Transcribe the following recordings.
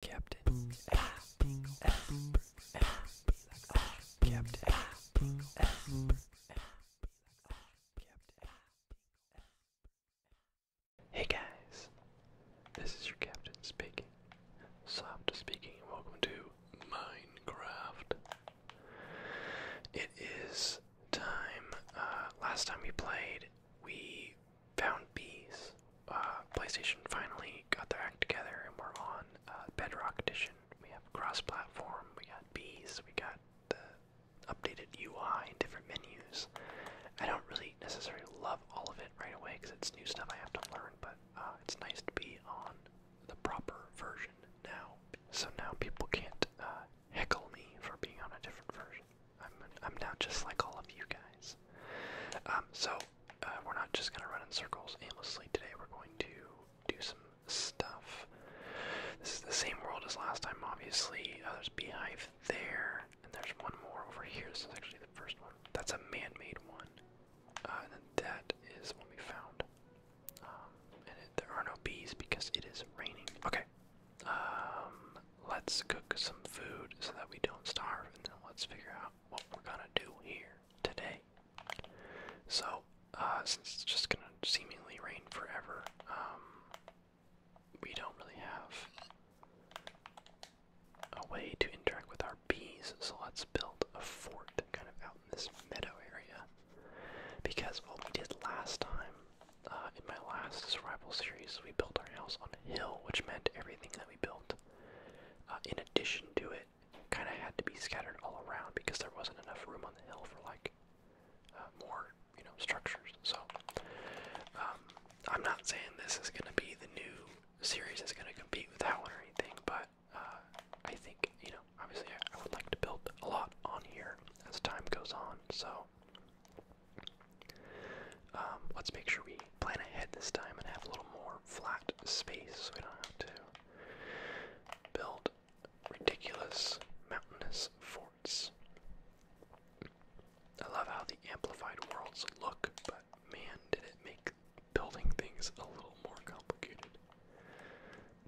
Captain Hey guys, this is your captain speaking. Soft speaking, and welcome to Minecraft. It is time. Uh, last time we played, we found bees. Uh, PlayStation finally got their act together, and we're on uh, Bedrock Edition. We have cross-platform. We got bees. We got the updated UI and different menus. I don't really necessarily love all of it right away because it's new stuff I have to learn, but uh, it's nice to be on the proper version now. So now people can't heckle me for being on a different version. I'm, I'm now just like all of you guys. Um, so uh, we're not just going to run in circles aimlessly today. We're going to do some stuff. This is the same world as last time, obviously. Uh, there's beehive there, and there's one more over here. This is actually the first one. That's a man-made one, uh, and that is what we found. Um, and there are no bees because it is raining. Okay. Um, let's cook some food so that we don't starve, and then let's figure out what we're gonna do here today. So, uh, since it's just gonna seemingly rain forever, um, we don't really have a way to interact with our bees, so let's build a fort kind of out in this meadow area. Because what we did last time, uh, in my last survival series, we built our house on a hill, which meant everything that we built uh, in addition to it, kind of had to be scattered all around because there wasn't enough room on the hill for like uh, more, you know, structures. So um, I'm not saying this is going to be the new series is going to compete with that one or anything, but uh, I think you know, obviously, I would like to build a lot on here as time goes on. So um, let's make sure we plan ahead this time and have a little more flat space so we don't have to build ridiculous mountainous forts. I love how the amplified worlds look, but man, did it make building things a little more complicated.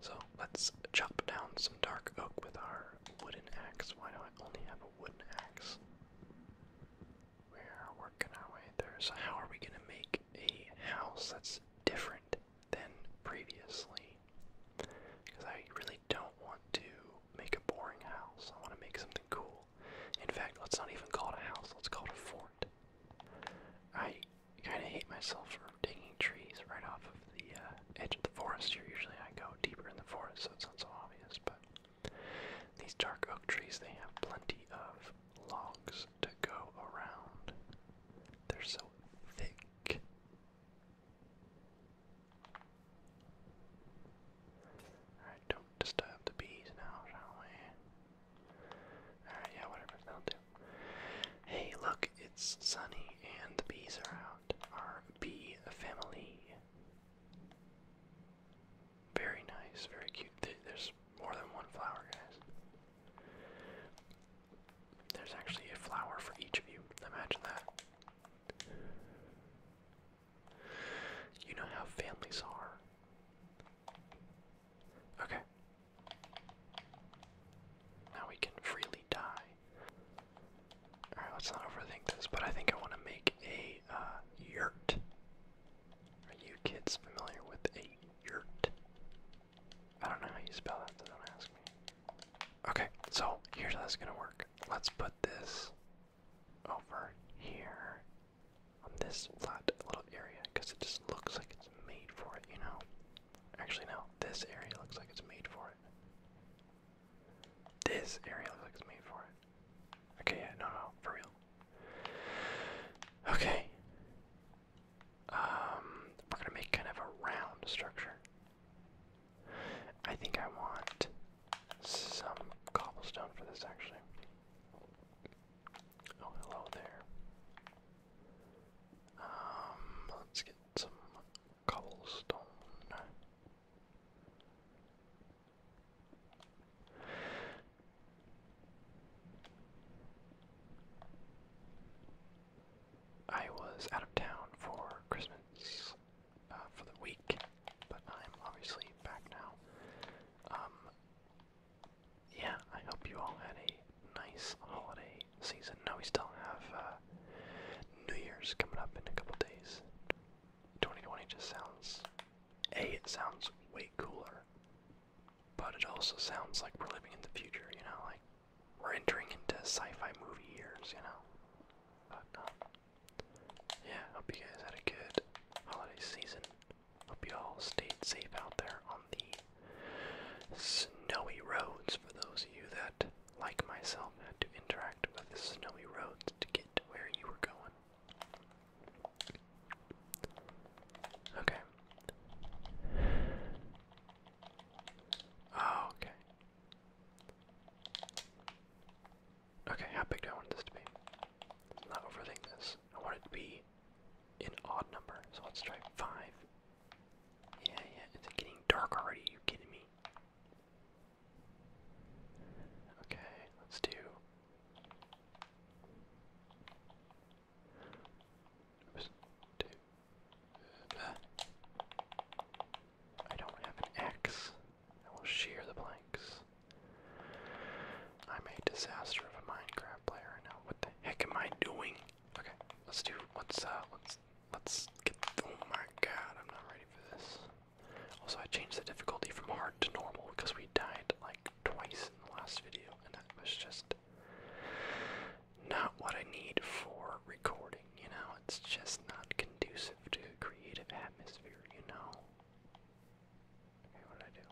So let's chop down some dark oak with our wooden axe. Why do I only have a wooden axe? We're working our way there. So how are we gonna make a house that's different than previously? Because I really don't want to make a boring house. I want to make something cool. In fact, let's not even call it a house. Let's call it a fort. I kind of hate myself for taking trees right off of the uh, edge of the forest here. Usually I go deeper in the forest, so it's not so obvious. But these dark oak trees, they have plenty of logs to go around. They're so thick. Alright, don't disturb the bees now, shall we? Alright, yeah, whatever, that'll do. Hey, look, it's sunny and the bees are out. Our bee family. Very nice, very cute. There's more than one flower, guys. There's actually a flower for each of you. Imagine that. You know how families are. Okay. Now we can freely die. Alright, let's not overthink this, but I think I want to make a uh, yurt. Are you kids familiar with a yurt? I don't know how you spell that, so don't ask me. Okay, so here's how this is gonna work. Let's put this over here on this flat little area because it just looks like it's made for it, you know? Actually, no, this area looks like it's made for it. This area looks like it's made for it. Okay, yeah, no, no, for real. Okay. Um, we're gonna make kind of a round structure. I think I want some cobblestone for this actually. Oh, hello there. Um, let's get some cobblestone. I was out of town for Christmas uh, for the week, but I'm obviously back now. Um, yeah, I hope you all had a nice holiday season. Now we still have uh, New Year's coming up in a couple days. 2020 just sounds. A, it sounds way cooler, but it also sounds like we're living in the future, you know? Like, we're entering into sci fi movie years, you know? But, um, yeah, hope you guys had a good holiday season. Hope you all stayed safe out there on the snowy roads for those of you that, like myself, had to interact with the snowy roads to get to where you were going. Okay. Oh, okay. Okay, how big do I want this to be? Let's not overthink this. I want it to be an odd number, so let's try five. Yeah, yeah, it's getting dark already, Are you kidding me? Okay, let's do. Oops, do uh, I don't have an X. I will shear the blanks. I'm a disaster of a Minecraft player right now. What the heck am I doing? Okay, let's do. Let's uh, let's let's get. Oh my God, I'm not ready for this. Also, I changed the difficulty from hard to normal because we died like twice in the last video, and that was just not what I need for recording, you know? It's just not conducive to a creative atmosphere, you know? Okay, what did I do?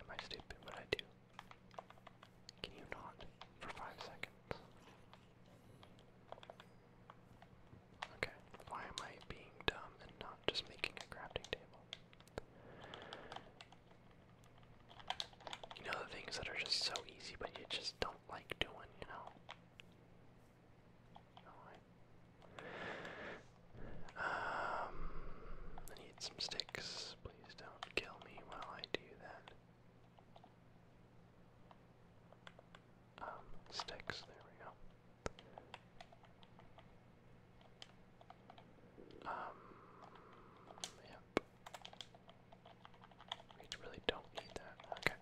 Am I stupid? What do I do? Can you not? For five seconds. Okay, why am I being dumb and not just making a crafting table? You know the things that are just so easy but you just don't like doing, you know? um, I need some sticks. Please don't kill me while I do that. Um, sticks. There we go. Um, yep. We really don't need that. Okay.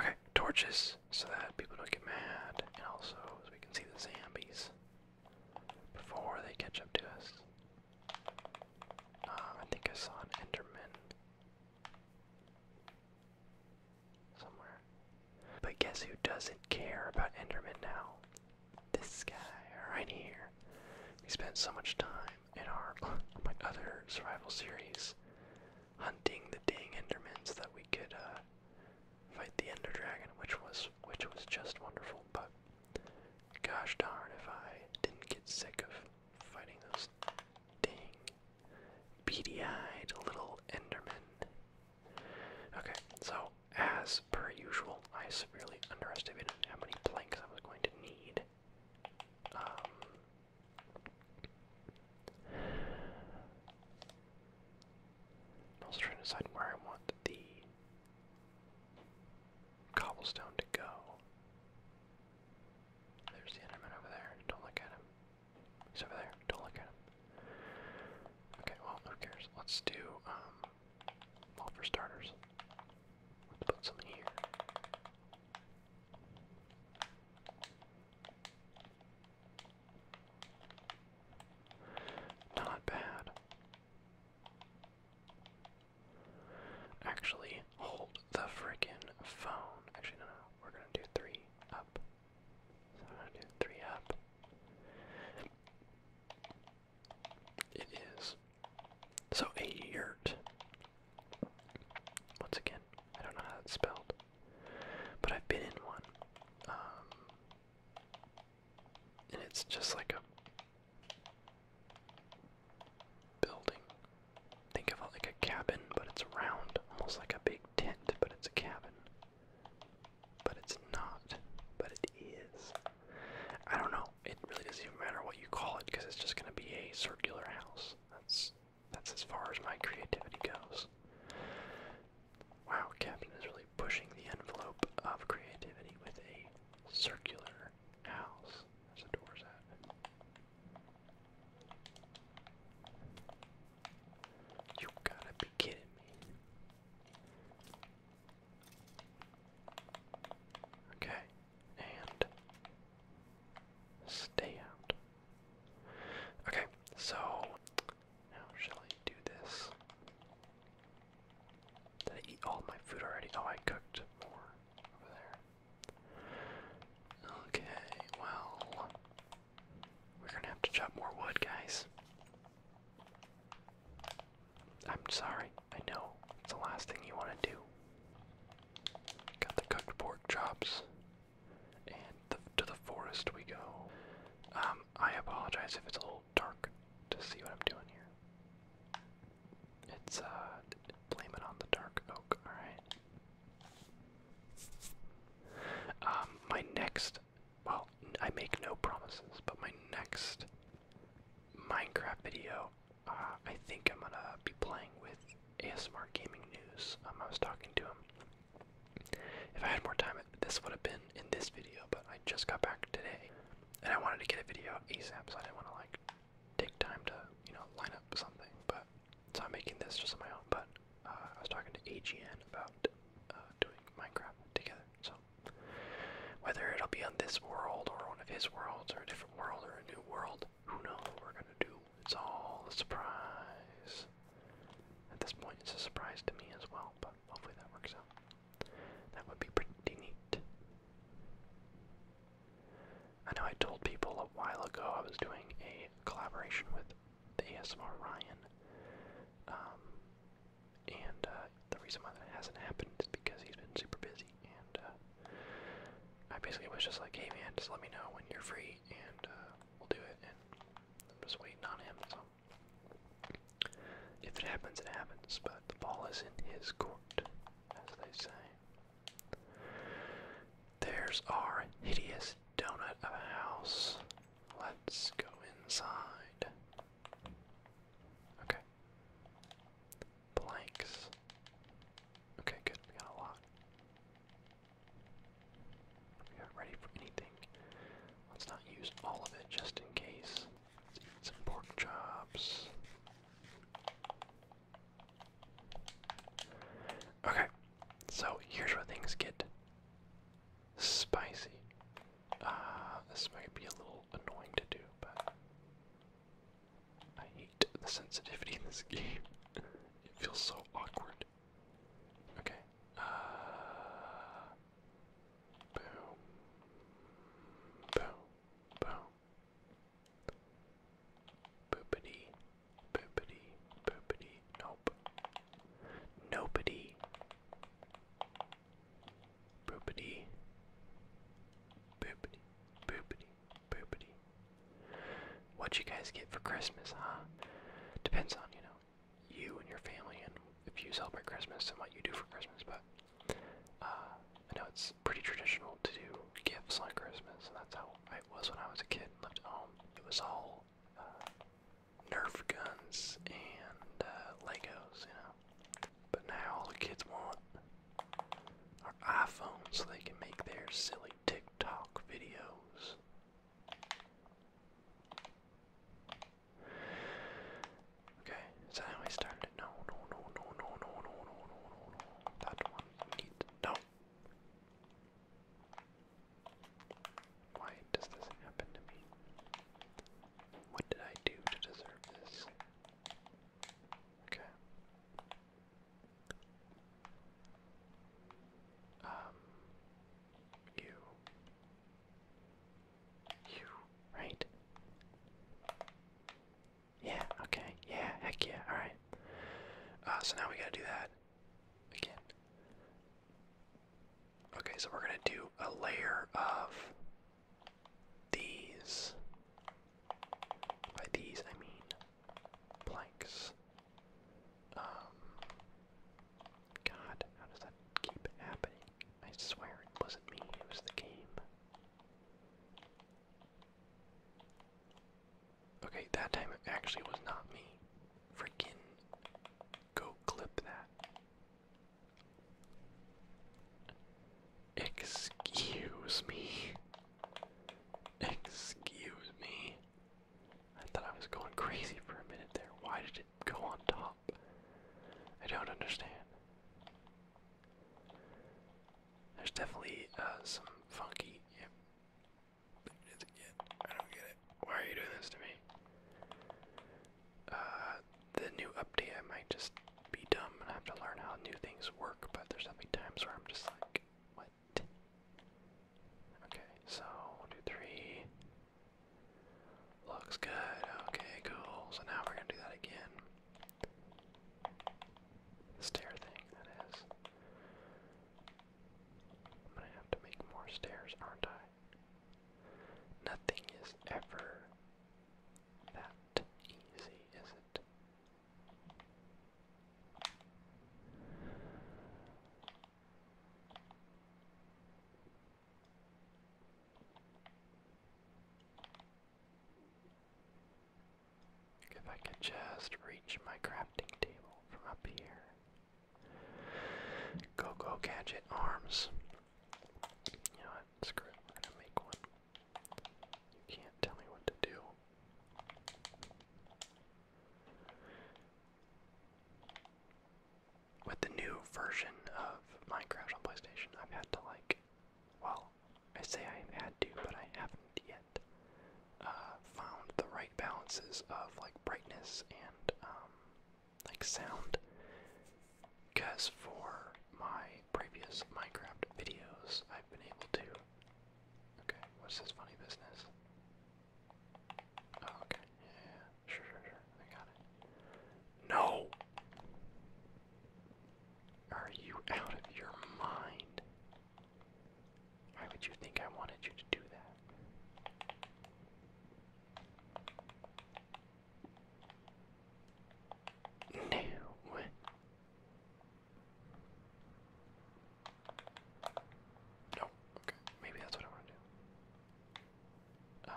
Okay, torches so that people don't get mad, and also so we can see the zombies before they catch up to us. Uh, I think I saw an Enderman. But guess who doesn't care about Enderman now? This guy right here. We spent so much time in our my other survival series hunting the dang Endermen so that we could uh, fight the Ender Dragon, which was which was just wonderful. But gosh darn if I didn't get sick of fighting those ding, beady-eyed little endermen. Okay, so as per usual, I severely underestimated how many planks I was going to need. Um, I'm also trying to decide where I want the cobblestone to go. There's the Enderman over there. Don't look at him. He's over there. Don't look at him. Okay, well, who cares? Let's do, um, well, for starters, let's put something here. Not bad. Actually, hold the frickin' phone. Actually, no, no, we're gonna do three up. So I'm gonna do three up. It is. So a yurt. Once again, I don't know how it's spelled, but I've been in one. Um, and it's just like a building Think of it like a cabin, but it's round, almost like a big tent, but it's a cabin. But it's not, but it is. I don't know. It really doesn't even matter what you call it because it's just going to be a circular house. That's that's as far as my creativity goes. Wow, Captain is really pushing the envelope of creativity with a circular house. Where's the doors you gotta be kidding me. Okay, and stay out. Okay, so now shall I do this? Did I eat all my food already? Oh, I cooked more over there. Okay, well, we're gonna have to chop more wood, guys. I'm sorry, I know. It's the last thing you want to do. Got the cooked pork chops. And to the forest we go. Um, I apologize if it's a little dark to see what I'm doing here. It's, uh, blame it on the dark oak, alright? Um, my next, well, I make no promises, but my next Minecraft video, uh, I think I'm gonna be playing with ASMR Gaming News. Um, I was talking to him. If I had more time, this would have been in this video, but I just got back today, and I wanted to get a video ASAP, so I didn't want to like take time to, you know, line up something. But so I'm making this just on my own, but uh, I was talking to AGN about uh, doing Minecraft together. So whether it'll be on this world or one of his worlds or a different world or a new world, who knows we're gonna do? It's all a surprise. At this point, it's a surprise to me as well, but hopefully that works out. That would be pretty neat. I know I told people a while ago I was doing a collaboration with the ASMR Ryan, um, and uh, the reason why that hasn't happened is because he's been super busy, and uh, I basically was just like, hey man, just let me know when you're free, and uh, we'll do it, and I'm just waiting on him, so. If it happens, it happens, but the ball is in his court, as they say. There's our hideous donut of a house. Let's go inside. Okay. Blanks. Okay, good. We got a lot. We are ready for anything. Let's not use all of it just in case. Let's eat some pork chops. Okay, so here's where things get spicy. Uh, this might be a little annoying to do, but I hate the sensitivity in this game. it feels so awkward. Okay. Uh, boom. Boom. Boom. Boopity, boopity, boopity, nope. Nobody. Boopity. Boopity, boopity, boopity. What you guys get for Christmas, huh? Depends on, you know, you and your family and if you celebrate Christmas and what you do for Christmas, but uh, I know it's pretty traditional to do gifts on Christmas, and that's how it was when I was a kid and home. It was all uh, Nerf guns and uh, Legos, you know. But now all the kids want are iPhones so they can make their silly TikTok videos. Okay, is I started? No, no, no, no, no, no, no, no, no, no, That one No, why does this happen to me? What did I do to deserve this? Okay. Um, you. You, right? Yeah, okay. Yeah, heck yeah. Alright. Uh, so now we gotta do that again. Okay, so we're gonna do a layer of these. By these, I mean blanks. Um, God, how does that keep happening? I swear it wasn't me, it was the game. Okay, that time actually was not me. Freaking go clip that. Excuse me. Excuse me. I thought I was going crazy for a minute there. Why did it go on top? I don't understand. There's definitely uh, some funky. Yep. I don't get it. Why are you doing this to me? Uh, the new update, I might just be dumb and have to learn how new things work, but there's definitely times where I'm just like, what? Okay, so one, two, three. Looks good. Okay, cool. So now we're gonna do that again. Stair thing, that is. I'm gonna have to make more stairs, aren't I? Nothing is ever that easy, is it? If I could just reach my crafting table from up here. Go go gadget arms. You Screw it. We're gonna make one. You can't tell me what to do. With the new version of Minecraft on PlayStation, I've had to like, well, I say I have had to, but I haven't yet uh, found the right balances of like brightness and um, like sound. Because for my previous Minecraft videos, I've been able to. Okay, what's this funny business? Oh, okay, yeah, sure, sure, sure, I got it. No! Are you out of your mind? Why would you think I wanted you to do that? No. No. Okay. Maybe that's what I want to do. Uh,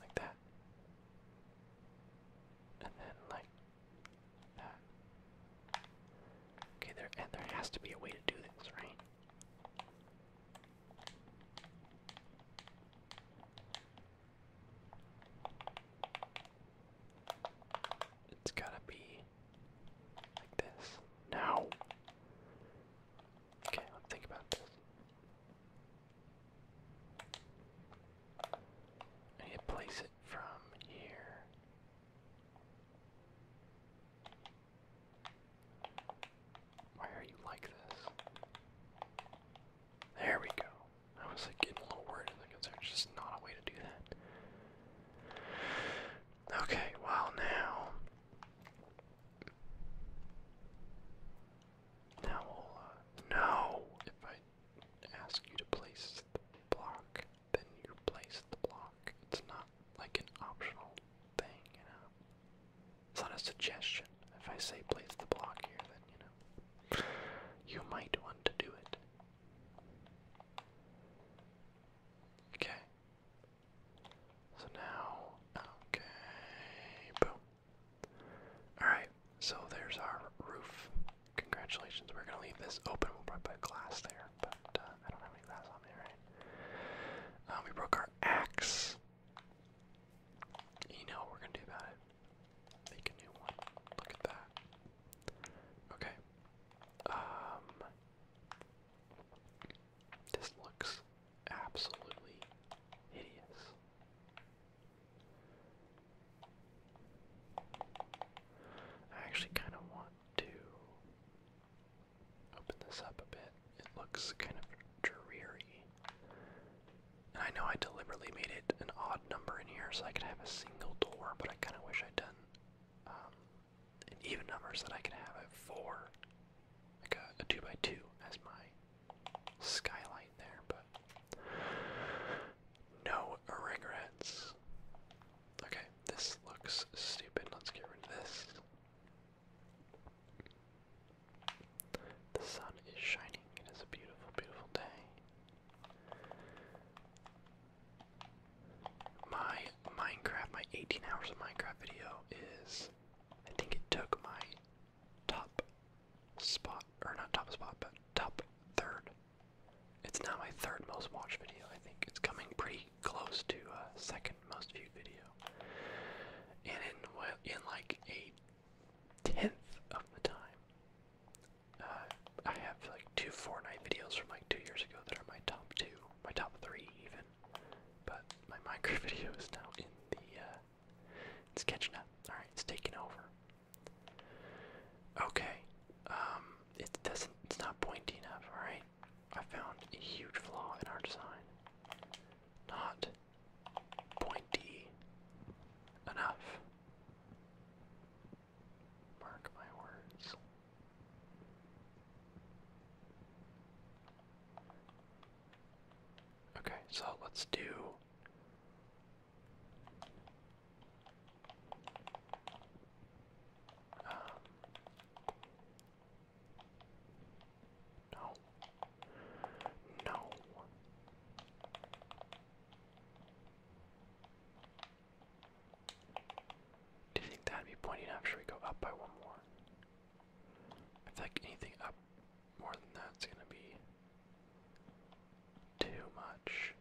like that. And then like Okay, there and there has to be a way to do this, right? It's gotta be like this. Now Okay, let's think about this. I place it from here. Why are you like this? There we go. I was like getting a little worried because there's just not a way to do that. Okay, well now. Now we'll, uh, no! ask you to place the block, then you place the block. It's not like an optional thing, you know. It's not a suggestion. If I say place the block here, then you know you might want to do it. Okay. So now, okay, boom. All right. So there's our roof. Congratulations. We're gonna leave this open. We'll probably put glass there, but uh, I don't have any glass on me, right? Uh, we broke our axe. You know we're gonna do about it? Make a new one. Look at that. Okay. Um. This looks absolutely hideous. I actually kind of want to open this up a bit. It looks kind of dreary. And I know I deliberately made it an odd number in here so I could have a single door, but I kind of wish I'd done um, an even number so that I could have a 4, like a 2x2 2 two as my skylight there, but no regrets. Okay, this looks stupid. Let's get rid of this. The sun is shining. It is a beautiful, beautiful day. My Minecraft, my 18 hours of Minecraft video is. I think it took my top spot, or not top spot, but top third. It's now my third most watched video, I think. It's coming pretty close to uh, second most viewed video. And in, in like a tenth of the time, uh, I have like two Fortnite videos from like two years ago that are my top two, my top three even. But my Minecraft video is now in the, uh, it's catching up. Alright, it's taking over. Okay. Um, it doesn't it's not pointy enough, alright? I found a huge flaw in our design. Not pointy enough. Mark my words. Okay, so let's do um, no. No. Do you think that'd be pointing up? Should we go up by one more? I feel like anything up more than that's gonna be too much.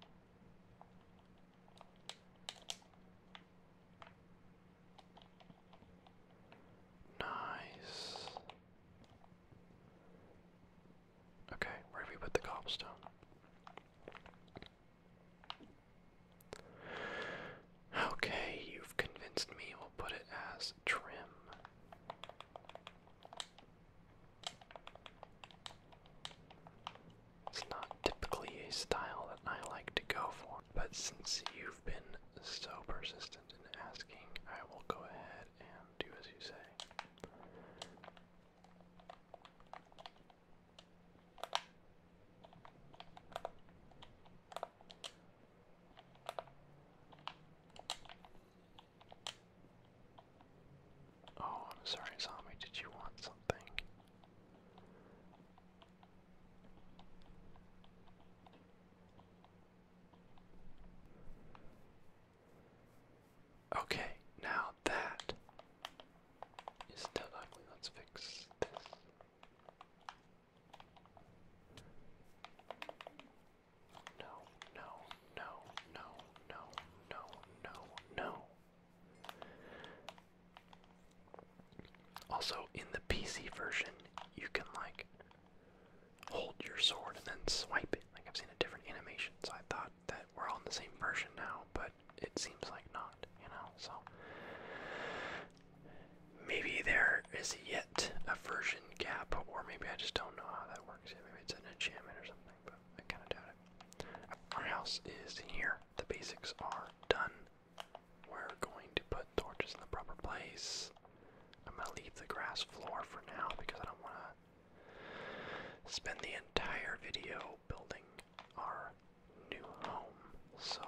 Nice. Okay, where do we put the cobblestone? Okay, you've convinced me. We'll put it as trim. It's not typically a style that I like to go for, but since you've been so persistent in asking, I will go ahead and do as you say. Oh, I'm sorry, zombie. Did you want something? Okay, now that is still ugly. Let's fix this. No, no, no, no, no, no, no, Also, in the PC version, you can like hold your sword and then swipe it. Like I've seen a different animation, so I thought that we're all in the same version now, but it seems like not, you know, so maybe there is yet a version gap, or maybe I just don't know how that works. Maybe it's an enchantment or something. Our house is here. The basics are done. We're going to put torches in the proper place. I'm gonna leave the grass floor for now because I don't want to spend the entire video building our new home. So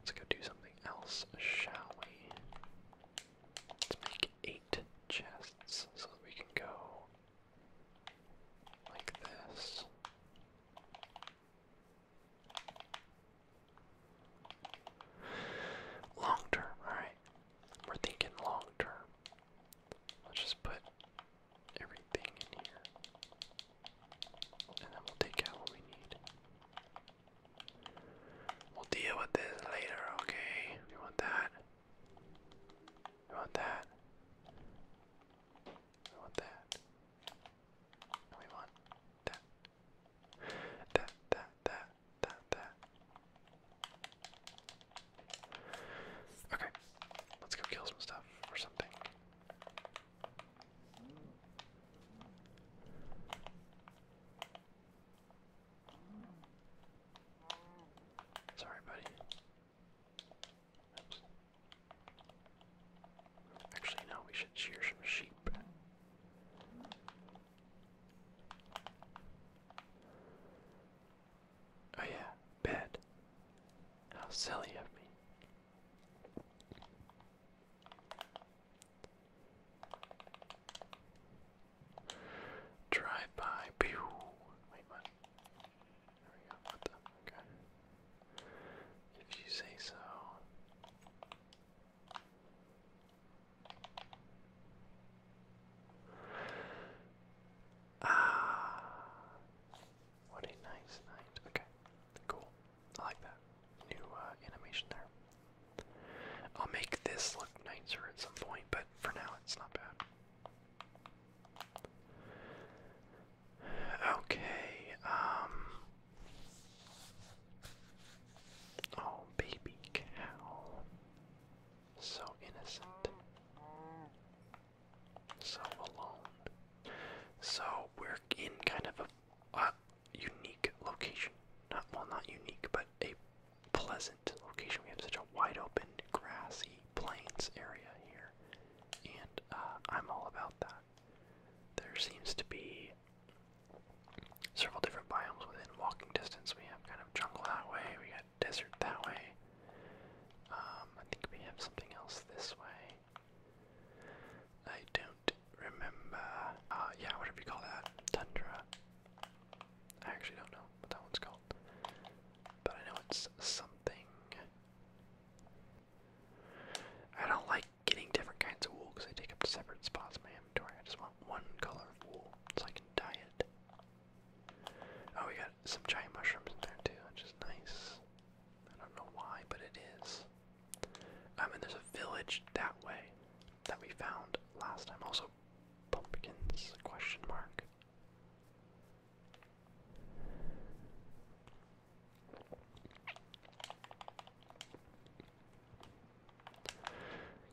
let's go do something else, shall we? Let's make like eight chests so that we can go like this. Long term, alright. We're thinking long term. Let's just put everything in here. And then we'll take out what we need. We'll deal with this later, okay? We want that. I want that. I want that. we want that. That, that, that, that, that. Okay, let's go kill some stuff or something. Sorry, buddy. Actually, no, we should shear some sheep. Oh, yeah, bed. How silly of me. Drive by. Pew. If you say so. Ah. What a nice night. Okay. Cool. I like that. New uh, animation there. I'll make this look nicer at some point, but for now it's not bad. Okay, um, Oh, baby cow. So innocent. So alone. So we're in kind of a unique location. Not well, not unique, but a pleasant location. We have such a wide open, grassy plains area here, and uh, I'm all about that. There seems to be several different biomes within walking distance. We have kind of jungle that way, we got desert that way. Um, I think we have something else this way. I don't remember. Uh, yeah, whatever you call that. Tundra. I actually don't know what that one's called. But I know it's something. I don't like getting different kinds of wool because they take up separate spots in my inventory. I just want one color of wool so I can dye it. Oh, we got some giant mushrooms in there too, which is nice. I don't know why, but it is. Um, and there's a village that way that we found last time. Also, pumpkins? Question mark.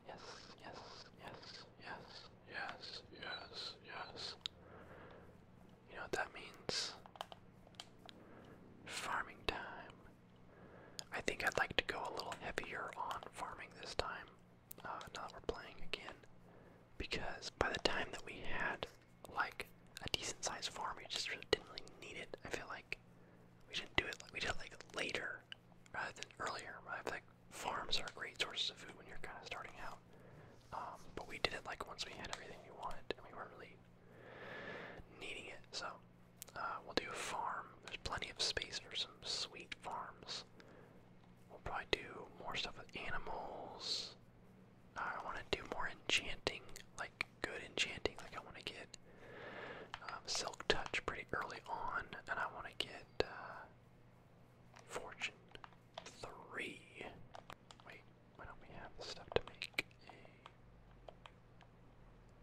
Yes, yes, yes, yes, yes, yes, yes. You know what that means? Farming time. I think I'd like to go a little heavier on farming this time uh, ah, now that we're playing again, because by the time that we had like a decent sized farm, we just really didn't really need it. I feel like we didn't do it. Like, we did it like later rather than earlier. I feel like farms are great sources of food when you're kind of starting out. Um, but we did it like once we had everything we wanted, and we weren't really needing it. So uh, we'll do a farm. There's plenty of space for some sweet farms. We'll probably do more stuff with animals. I want to do more enchanting, like good enchanting. Like I want to get um, silk touch pretty early on, and I want to get uh, fortune three. Wait, why don't we have stuff to make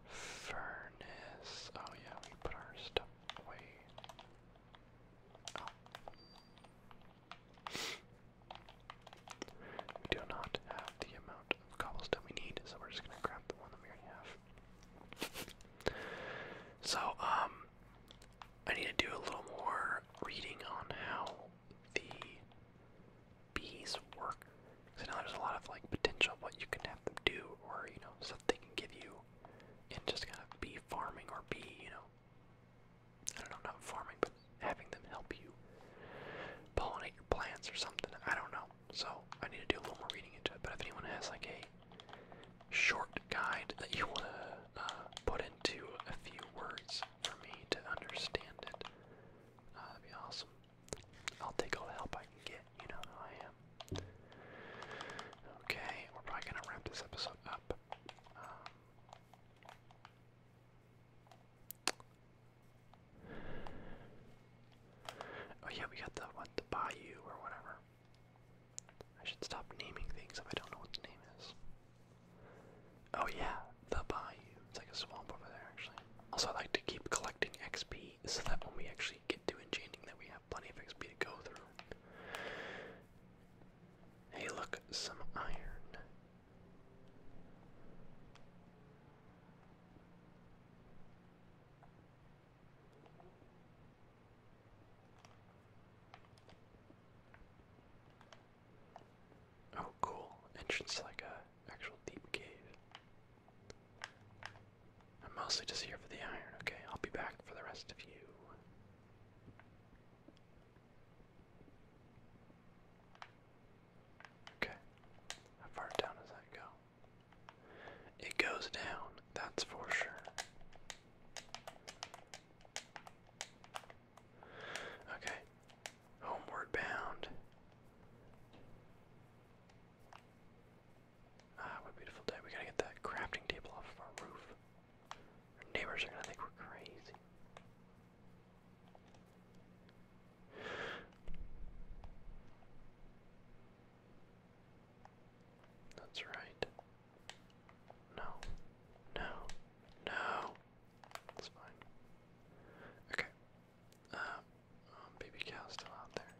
Furnace. Oh yeah, we put our stuff away. Oh. We do not have the amount of cobblestone we need, so we're just gonna grab the one that we already have. So, um, I need to do a little more reading on how the bees work. Because I there's a lot of like potential what you can have them do, or you know, they can give you and just kind of be farming or be, you know, I don't know, not farming, but having them help you pollinate your plants or something. I don't know. So I need to do a little more reading into it. But if anyone has like a short guide that you want to uh, put into a few words for me to understand it, uh, that'd be awesome. I'll take all the help I can get. You know how I Okay, we're probably gonna wrap this episode up. Um, oh yeah, we got the what the bayou or whatever. I should stop naming things if I don't know what the name is. Oh yeah, the bayou. It's like a swamp over there actually. Also I like to keep collecting XP so that when we actually get to enchanting that we have plenty of XP to go through. Hey, look, some iron. Oh, cool. Entrance like a actual deep cave. I'm mostly just here for the iron, okay? I'll be back for the rest of you. Okay. How far down does that go? It goes down, that's for sure. Okay. Homeward bound. Ah, what beautiful day. We gotta get that crafting table off of our roof. neighbors are gonna think we're crazy. That's right. No. No. No. That's fine. Okay. Um, um, baby cow's still out there.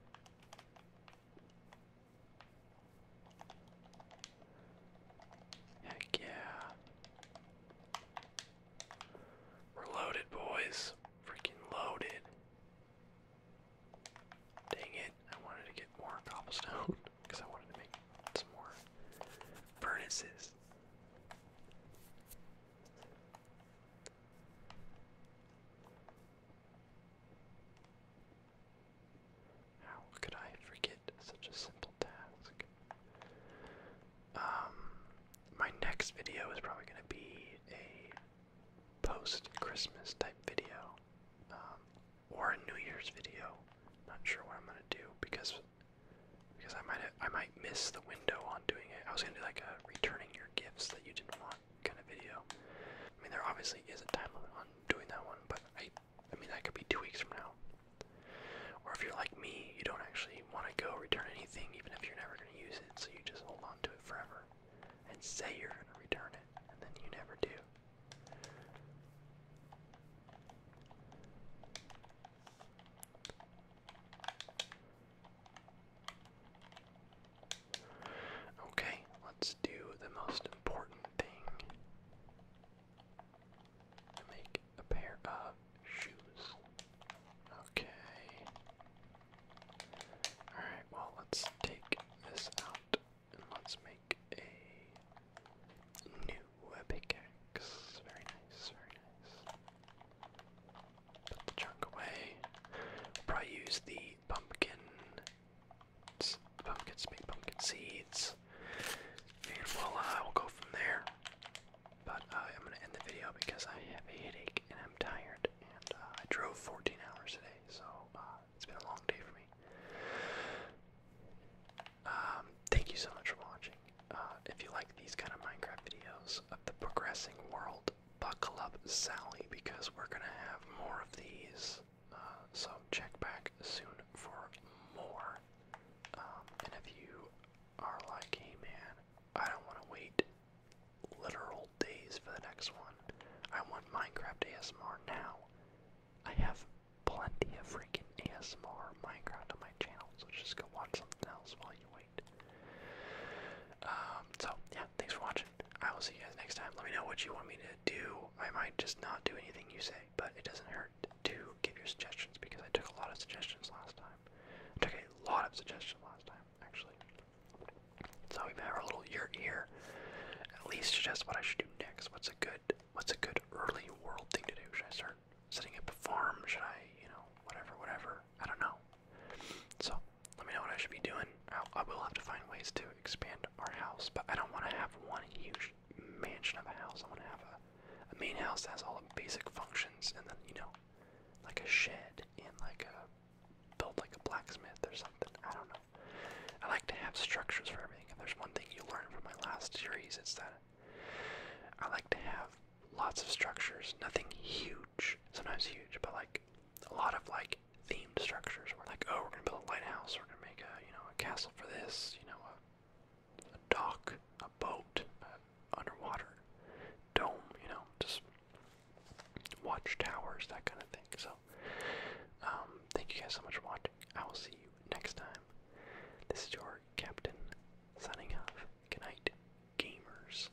Heck yeah. We're loaded, boys. Freaking loaded. Dang it. I wanted to get more cobblestone because I wanted to make some more furnaces. How could I forget such a simple task? Um, my next video is probably going to be a post-Christmas type video, um, or a New Year's video. Not sure what I'm going to do because because I might I might miss the window on doing it. I was going to do like a returning your gifts that you didn't want kind of video. I mean, there obviously is a time limit on doing that one, but I, I mean, that could be two weeks from now. Or if you're like me, you don't actually want to go return anything, even if you're never going to use it, so you just hold on to it forever and say you're going to return it, and then you never do. Okay, let's do the most important thing make a pair of shoes. Okay. Alright, well, let's take this out and let's make a new pickaxe. Very nice, very nice. Put the junk away. probably use the pumpkin, pumpkin, pumpkin seeds, and we'll will go from there. But I'm gonna end the video because I have a headache and I'm tired, and uh, I drove 14 hours today, so uh, it's been a long day for me. Um, thank you so much for watching. Uh, if you like these kind of Minecraft videos of the progressing world, buckle up Sally because we're going to have more of these. Uh, so check back soon for more. Um, and if you are like, hey man, I don't want to wait literal days for the next one, I want Minecraft ASMR now. I have plenty of freaking ASMR Minecraft on my channel, so just go watch something else while you wait. Um, so, yeah, thanks for watching. I will see you guys next time. Let me know what you want me to do. I might just not do anything you say, but it doesn't hurt to give your suggestions because I took a lot of suggestions last time. I took a lot of suggestions last time, actually. So we have a little year here. At least suggest what I should do next. What's a good what's a good early world thing to do? Should I start setting up a farm? Should I, you know, whatever, whatever? I don't know. So let me know what I should be doing. I'll, have to find ways to expand our house, but I don't want to have one huge mansion of a house. I want to have a, main house that has all the basic functions, and then you know, like a shed and like a build like a blacksmith or something. I don't know. I like to have structures for everything. If there's one thing you learned from my last series, it's that I like to have lots of structures. Nothing huge, sometimes huge, but like a lot of like themed structures where like, oh, we're gonna build a lighthouse, we're gonna make a you know a castle for this, you know, a, dock, a boat, underwater dome, you know, just watchtowers, that kind of thing. So, um, thank you guys so much for watching. I will see you next time. This is your captain signing off. Good night, gamers.